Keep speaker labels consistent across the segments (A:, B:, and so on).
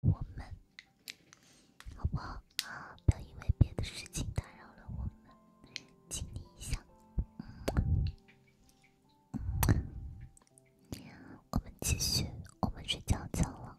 A: 我们，好不好啊？不要因为别的事情打扰了我们，请你一下。我们继续，我们睡觉觉了。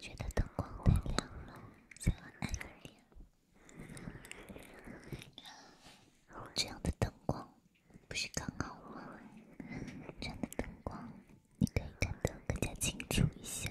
A: 觉得灯光太亮了，想暗一点。这样的灯光不是刚好吗？这样的灯光，你可以看得更加清楚一些。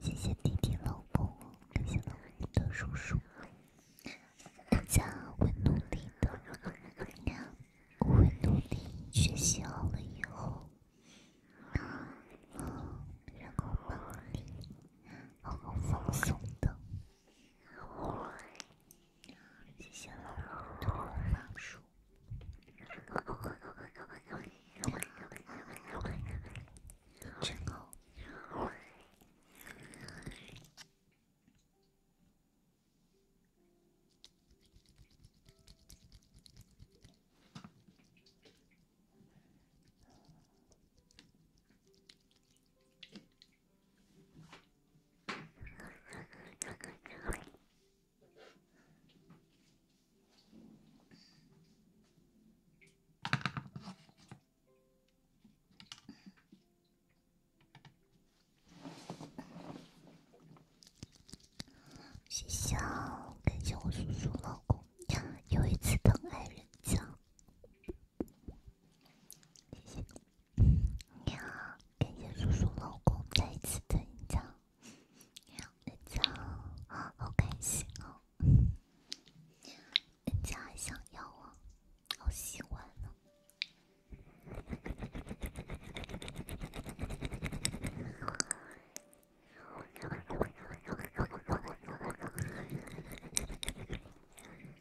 A: 谢谢弟弟老公，感谢老公的叔叔。大家会努力的，我会努力学习好了以后，然后把力好好放松的。谢谢老老鼠。真好。谢谢，感谢我叔叔老公呀，又一次疼爱人家。谢谢，你好，感谢叔叔老公再次增加，人家好开心哦，人家还想要啊，好喜欢呢。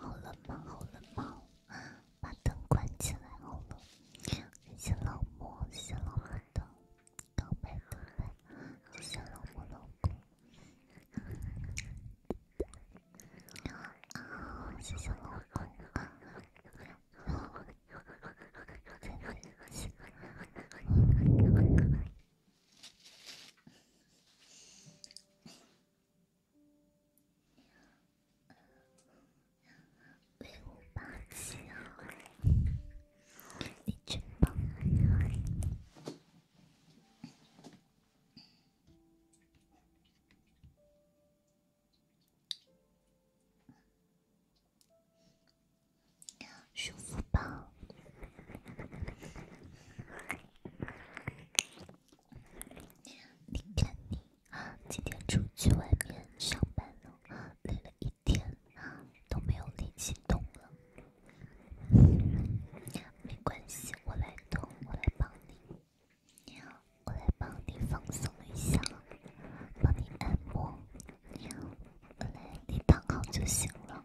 A: 好冷吗？好冷吗？把灯关起来，好冷。谢谢老莫，谢谢老莫的。宝贝，宝贝，谢谢老公，老公，谢谢老公。威武霸气，你真棒！舒服吧？你看你，今天出去外面上班了，累了一。天呐，都没有力气动了。没关系，我来动，我来帮你。我来帮你放松一下，帮你按摩。我来，你躺好就行了。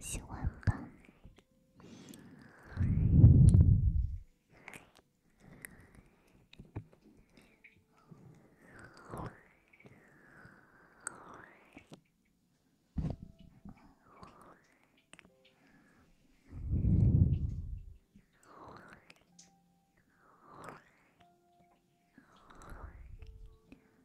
A: 喜欢吧。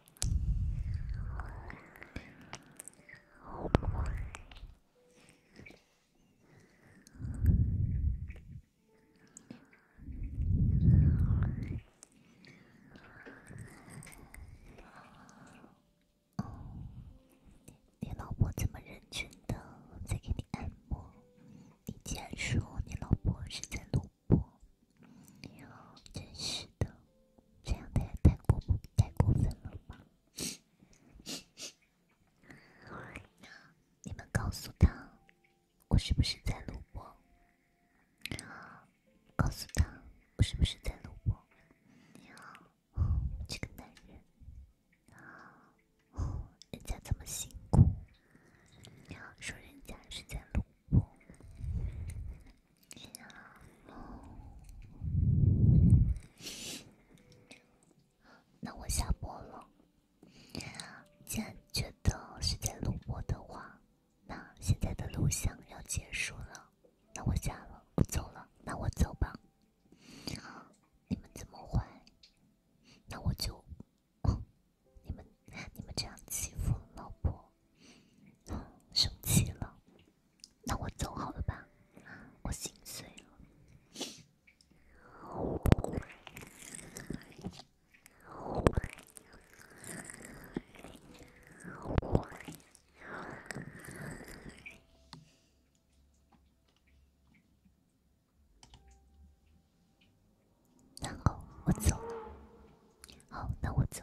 A: 你老婆怎么认真的在给你按摩？你竟然说你老婆是在录播？你好，真是的。这样太太过，太过分了吧？你们告诉他，我是不是在录播？告诉他，我是不是在录播？这个男人，人家这么辛苦？你要说人家是在录播。那我下播了。既然觉得是在录播的话，那现在的录像要结束了，那我下了，不走了，那我走吧。你们这么坏？那我就，你们你们这样欺负老伯，生气了。那我走好了吧，我心碎了。然后我走了。好，那我走。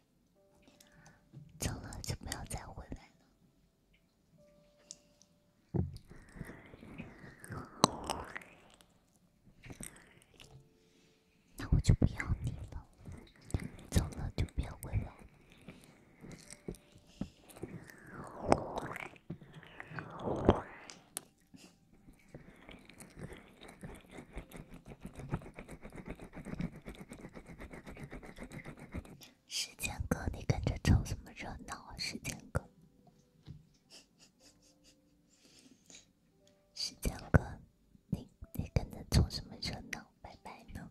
A: 走了就不要再回来了，那我就不要你了。走了就别回来。时间哥，你跟着凑什么热闹啊？时间哥，时间哥，你你跟着凑什么热闹？拜拜了，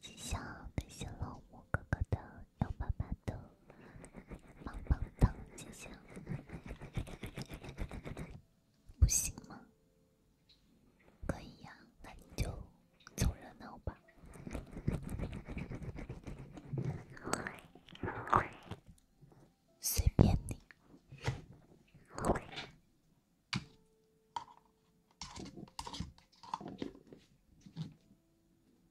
A: 谢谢老哥哥的。幺八八的棒棒糖，不行吗？可以呀，那你就凑热闹吧，随便你。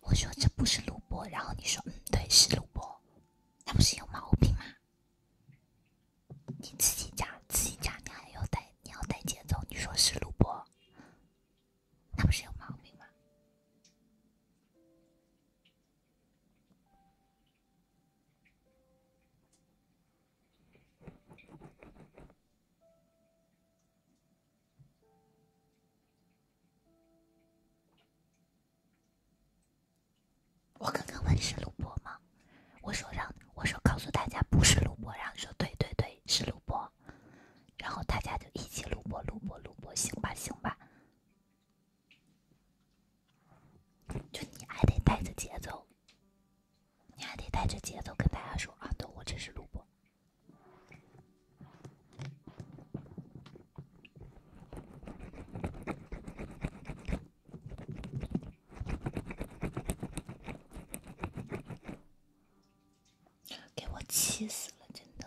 A: 我说这不是录播，然后你说嗯，对，是录播，那不是有毛病吗？你自己讲，自己讲，你还要带，你要带节奏，你说是录播，那不是有毛病吗？我刚刚问是录播吗？我说让我说告诉大家不是录播，然后说对对对是录播，然后大家就一起录播录播录播，行吧行吧，就你还得带着节奏，你还得带着节奏跟大家说啊，对，我这是录播。给我气死了，真的！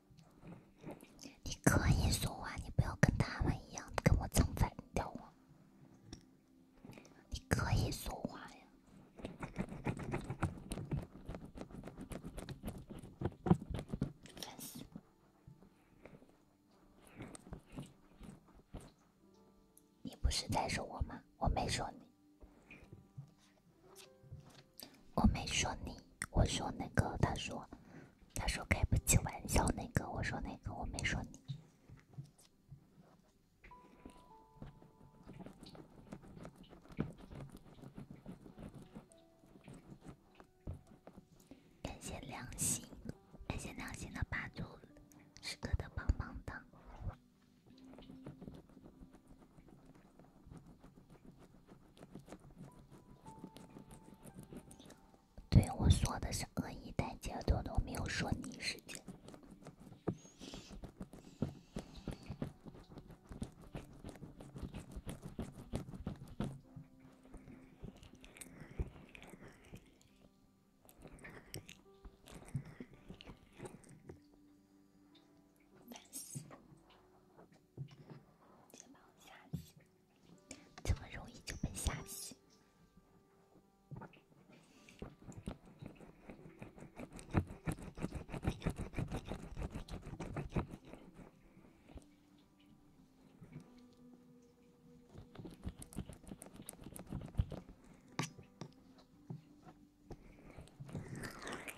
A: 你可以说话，你不要跟他们一样跟我唱反调啊！你可以说话呀，烦死你不是在说我吗？我没说你。我没说你，我说那个，他说，他说开不起玩笑，那个，我说那个，我没说你。感谢良心，感谢良心的八主，时刻的棒棒糖。对我说的是恶意带节奏，都没有说你是直接把我吓死！这么容易就被吓死？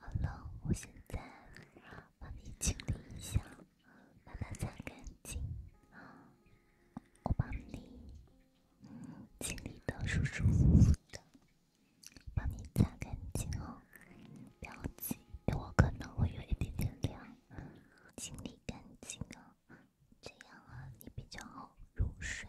A: 好了，我现在帮你清理一下，把它擦干净。我帮你清理的舒舒服服的，帮你擦干净哦。不要紧，我可能会有一点点凉。清理干净哦，这样啊，你比较好入睡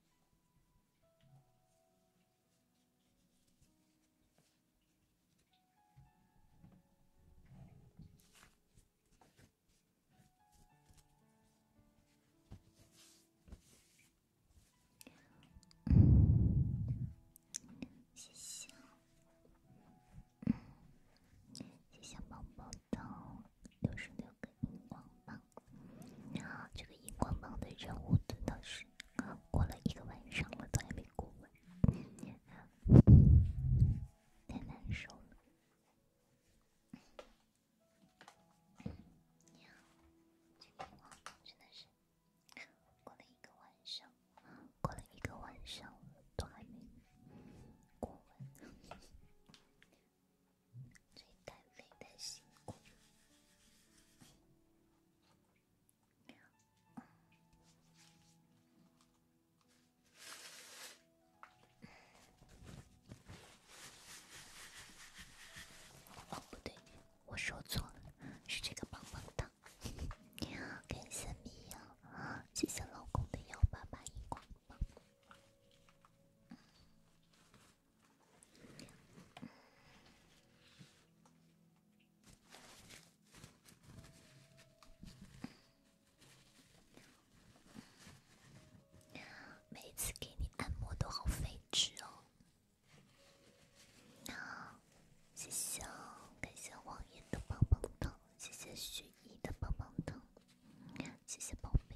A: 谢谢，谢谢宝宝。到六十六个荧光棒，然后这个荧光棒的人物蹲到十个，过了一个晚上了都还没过完，太难受了。真的是过了一个晚上，过了一个晚上都还没过完。最带泪的辛苦。说错了，是这个棒棒糖。感 谢米谢谢老公的幺八八光。每次给你按摩都好费纸哦，那谢谢感谢王爷的棒棒糖，谢谢的棒棒糖。谢谢宝贝，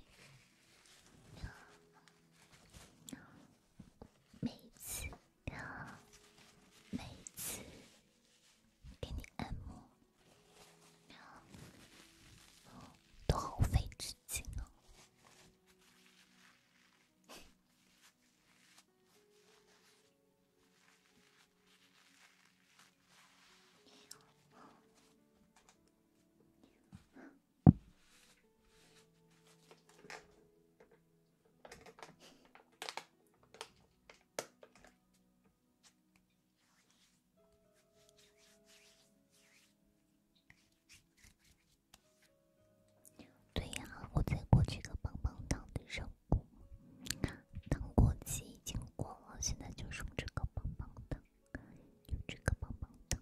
A: 每次，每次给你按摩，都好费纸巾哦。对呀，我在过这个棒棒糖的任务，糖果期已经过了，现在就是这个棒棒糖。用这个棒棒糖。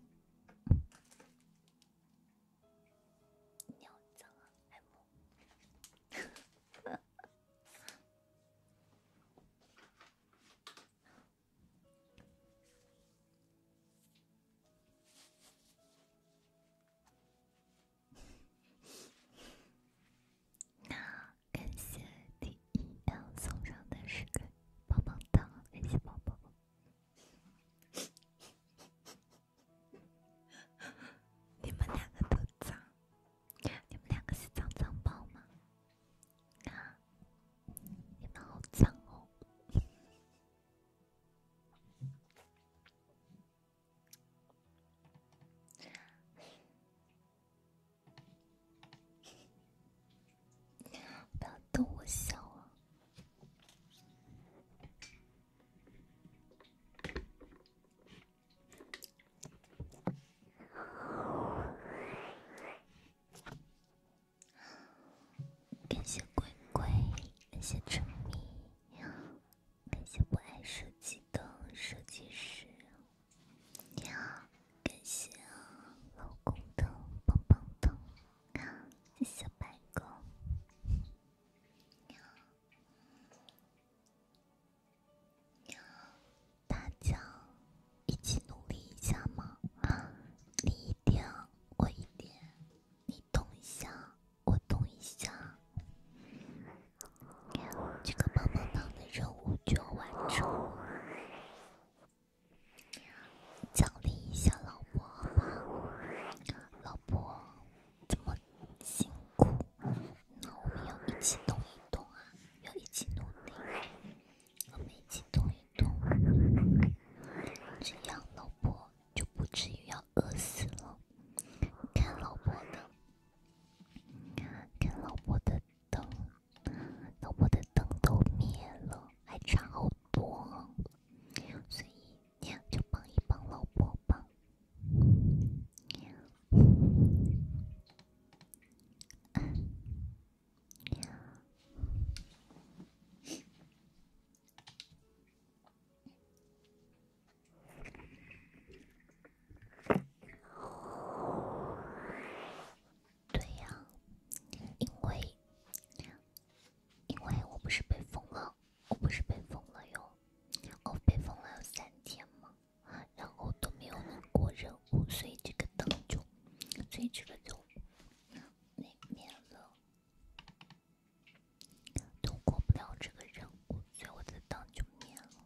A: 感谢第一亮送上的十个棒棒糖，谢谢宝宝。你们两个都脏，你们两个是脏脏包吗？你们好脏哦！不要逗我笑啊！感谢鬼鬼，感谢沉迷，感谢不爱设计的设计师。你好，感谢老公的棒棒糖，小白狗，大家一起努力一下嘛！你一点，我一点，你动一下，我动一下，这个棒棒糖的任务就完成。奖励一下老婆，老婆这么辛苦？那我们要一起动一动啊，要一起努力，我们一起动一动，这样老婆就不至于要饿死了。看老婆的，看老婆的灯。老婆的灯都灭了，还差好多，所以就帮一帮老婆吧。对呀，因为因为我不是被封了，我不是被封了哟，我被封了有三天嘛，然后都没有过任务，所以这个灯就，所以这个就没灭了，都过不了这个任务，所以我的灯就灭了。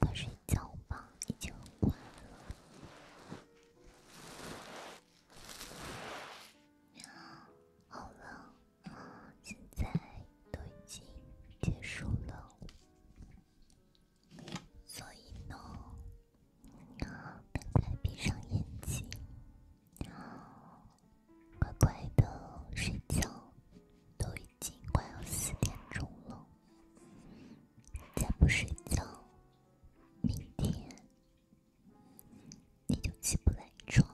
A: 快睡觉吧，已经很晚了。好了，现在都已经结束了，所以呢，你要赶快闭上眼睛，要乖乖的睡觉。都已经快要四点钟了。再不睡觉，明天你就起不来床。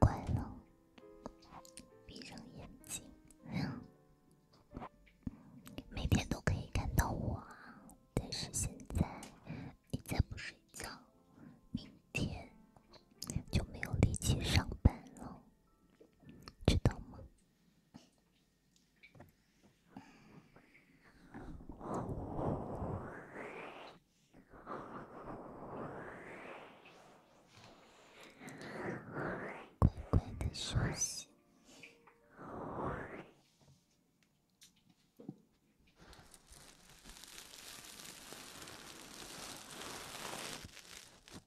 A: 乖了，闭上眼睛。每天都可以看到我，但是现在你再不睡觉，明天就没有力气上班了。知道吗？乖乖的学习。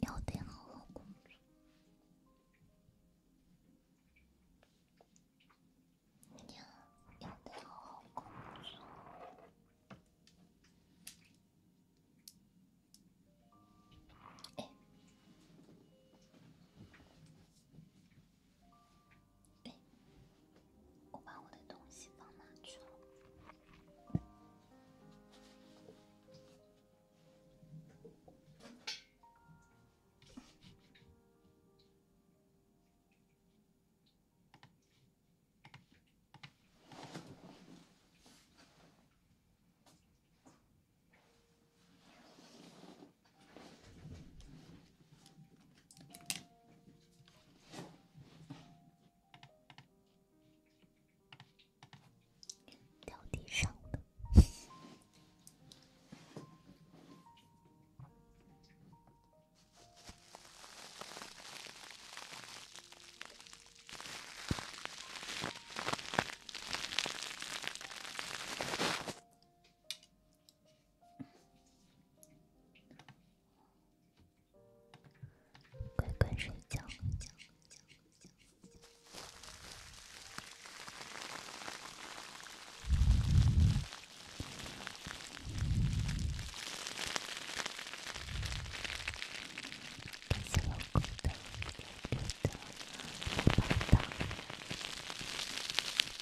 A: 要得，好好工作。娘，要得，好好工作。哎。哎，我把我的东西放哪去了？掉地上的。乖乖睡觉。